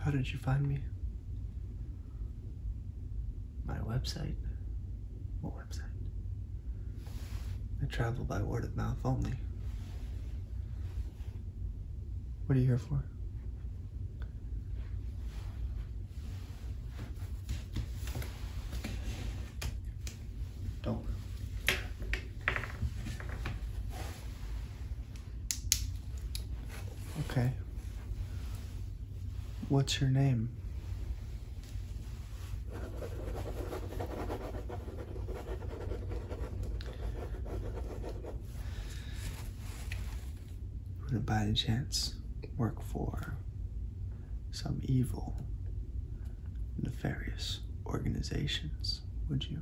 How did you find me? My website. What website? I travel by word of mouth only. What are you here for? Don't. Okay. What's your name? Would it by chance work for some evil, nefarious organizations, would you?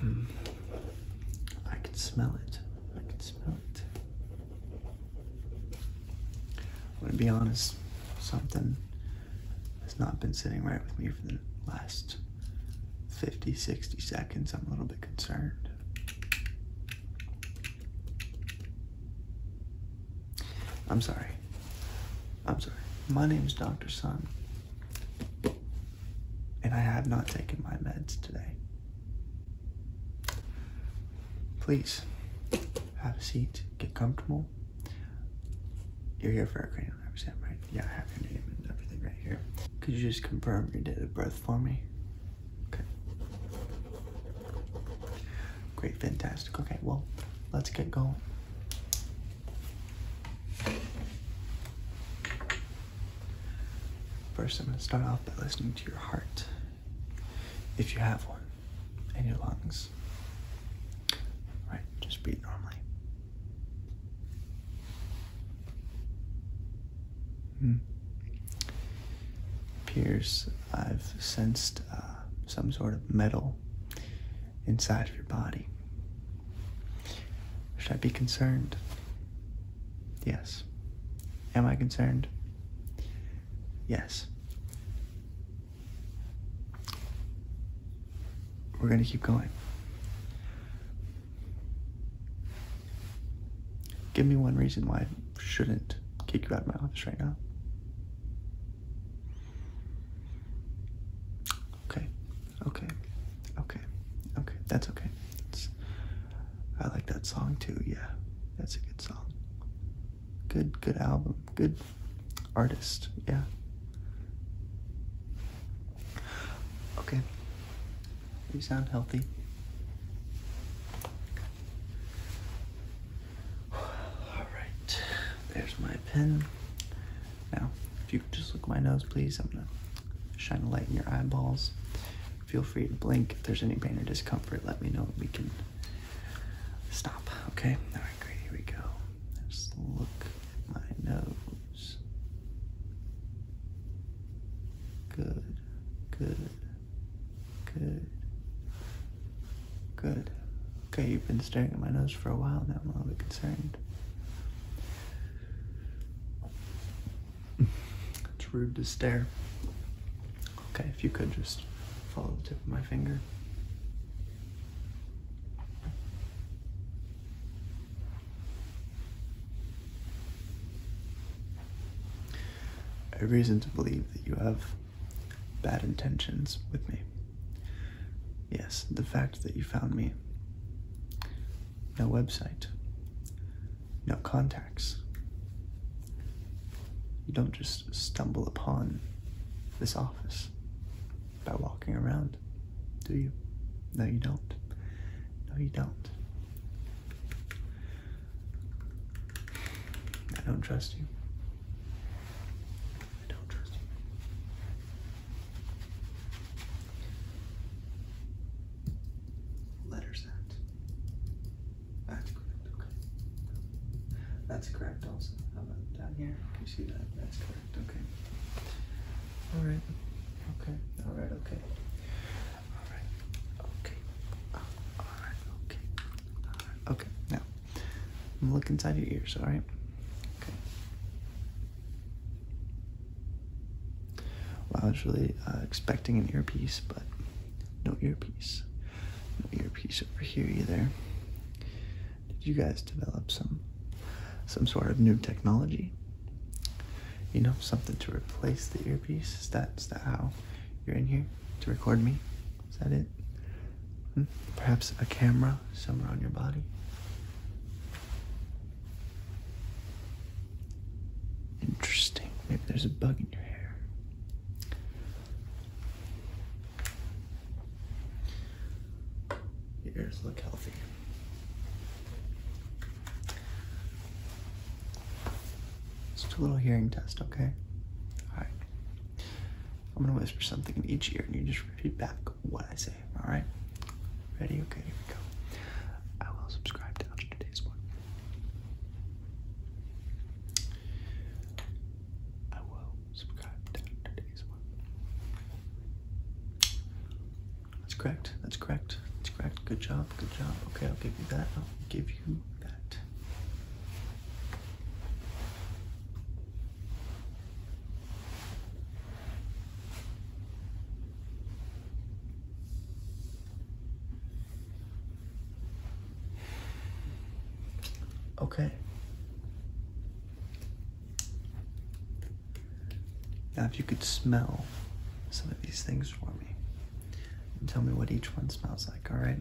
Hmm. I can smell it. I can smell it. I'm going to be honest, something has not been sitting right with me for the last 50, 60 seconds, I'm a little bit concerned. I'm sorry. I'm sorry. My name is Dr. Sun. And I have not taken my meds today. Please, have a seat, get comfortable. You're here for a great 100% right? Yeah, I have your name and everything right here. Could you just confirm your date of birth for me? Okay. Great, fantastic. Okay, well, let's get going. First, I'm going to start off by listening to your heart, if you have one, and your lungs. All right, just beat normally. Hmm. Pierce, I've sensed uh, some sort of metal inside of your body. Should I be concerned? Yes. Am I concerned? Yes. We're going to keep going. Give me one reason why I shouldn't kick you out of my office right now. Okay, okay, okay, okay, that's okay. I like that song too, yeah. That's a good song. Good, good album. Good artist, yeah. Okay. You sound healthy. Alright, there's my pen. Now, if you could just look at my nose, please, I'm gonna shine a light in your eyeballs. Feel free to blink. If there's any pain or discomfort, let me know. We can stop, okay? Alright, great, here we go. Just look at my nose. Good, good, good, good. Okay, you've been staring at my nose for a while now. I'm a little bit concerned. it's rude to stare. Okay, if you could just follow the tip of my finger. A reason to believe that you have bad intentions with me. Yes, the fact that you found me. No website. No contacts. You don't just stumble upon this office by walking around, do you? No, you don't. No, you don't. I don't trust you. I don't trust you. Letter sound. That's correct, That's correct also. How about down here? you see that? That's correct. Perfect. Okay. All right. Okay. All right. Okay. All right. Okay. All right. Okay. All right. Okay. Now, I'm look inside your ears. All right. Okay. Well, I was really uh, expecting an earpiece, but no earpiece. No earpiece over here either did you guys develop some some sort of new technology? You know, something to replace the earpiece? Is that, is that how you're in here to record me? Is that it? Hmm? Perhaps a camera somewhere on your body? Interesting. Maybe there's a bug in your hair. Your ears look healthy. Just a little hearing test, okay? Alright. I'm gonna whisper something in each ear and you just repeat back what I say, alright? Ready? Okay, here we go. I will subscribe to today's one. I will that's correct. That's correct. That's correct. Good job. Good job. Okay, I'll give you that. I'll give you that. Okay. Now, if you could smell some of these things for me and tell me what each one smells like, all right?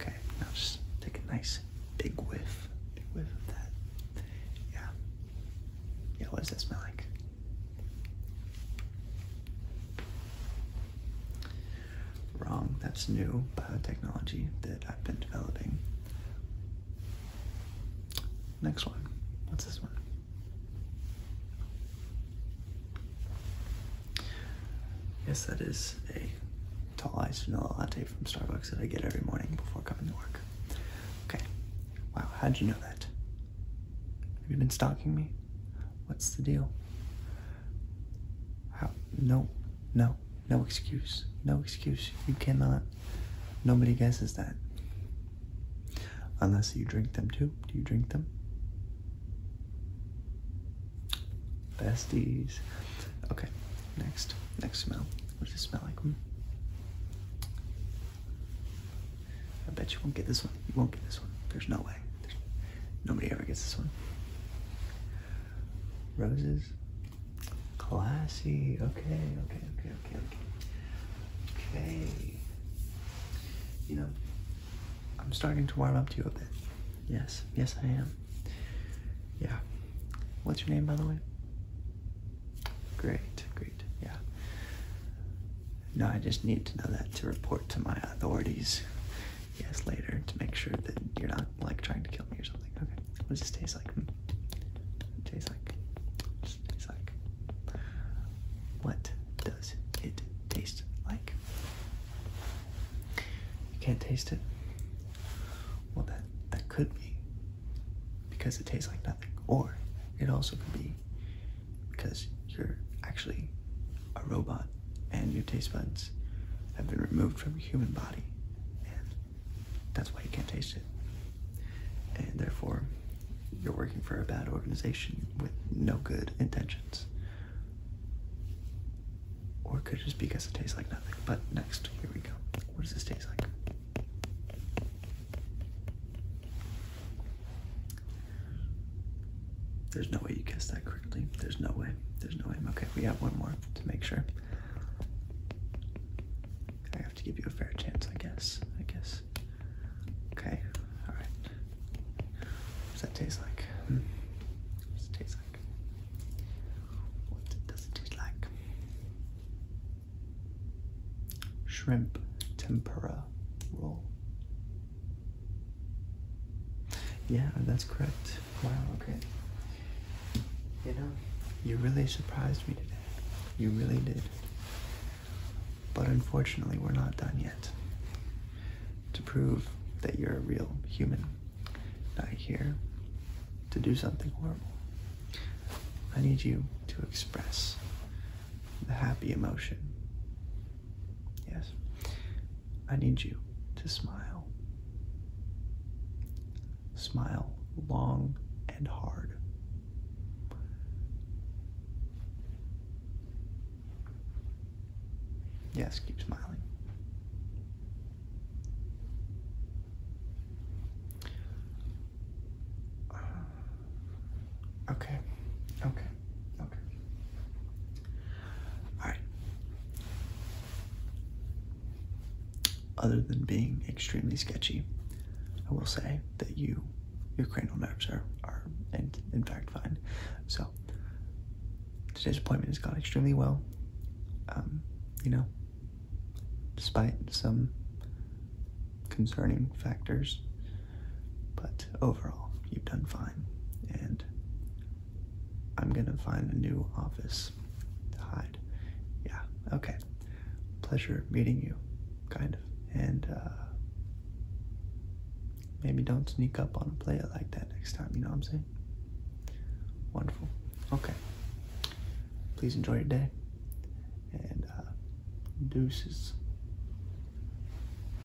Okay, now just take a nice big whiff, big whiff of that. Yeah. Yeah, what does that smell like? wrong. That's new biotechnology uh, that I've been developing. Next one. What's this one? Yes, that is a tall iced vanilla latte from Starbucks that I get every morning before coming to work. Okay. Wow, how'd you know that? Have you been stalking me? What's the deal? No, no, no excuse. No excuse. You cannot. Nobody guesses that. Unless you drink them too. Do you drink them? Besties. Okay, next. Next smell. What does it smell like? I bet you won't get this one. You won't get this one. There's no way. nobody ever gets this one. Roses. Classy. Okay, okay, okay, okay, okay. Okay. You know, I'm starting to warm up to you a bit. Yes, yes, I am. Yeah. What's your name, by the way? Great, great, yeah. No, I just need to know that to report to my authorities yes later to make sure that you're not like trying to kill me or something. Okay. What does this taste like? Mm. tastes like. tastes like. What does it taste like? You can't taste it. Well, that that could be because it tastes like nothing, or it also could be because you're actually a robot and your taste buds have been removed from your human body, and that's why you can't taste it. And therefore, you're working for a bad organization with no good intentions. Or it could just be because it tastes like nothing. But next, here we go. What does this taste like? There's no way you guessed that correctly. There's no way. There's no way. Okay, we got one more to make sure. I have to give you a fair chance, I guess. I guess. Okay, alright. What does that hmm. taste like? What does it taste like? Shrimp tempura roll. Yeah, that's correct. Wow, okay. You know, you really surprised me today. You really did. But unfortunately, we're not done yet. To prove that you're a real human, not here to do something horrible, I need you to express the happy emotion Yes. I need you to smile. Smile long and hard. Yes, keep smiling. Okay, okay. Okay. Alright. Other than being extremely sketchy, I will say that you, your cranial nerves are, are in, in fact fine. So, today's appointment has gone extremely well. Um, you know, despite some concerning factors but overall, you've done fine. And I'm gonna find a new office to hide. Yeah, okay. Pleasure meeting you, kind of. And uh, maybe don't sneak up on a player like that next time, you know what I'm saying? Wonderful. Okay. Please enjoy your day. And uh, deuces.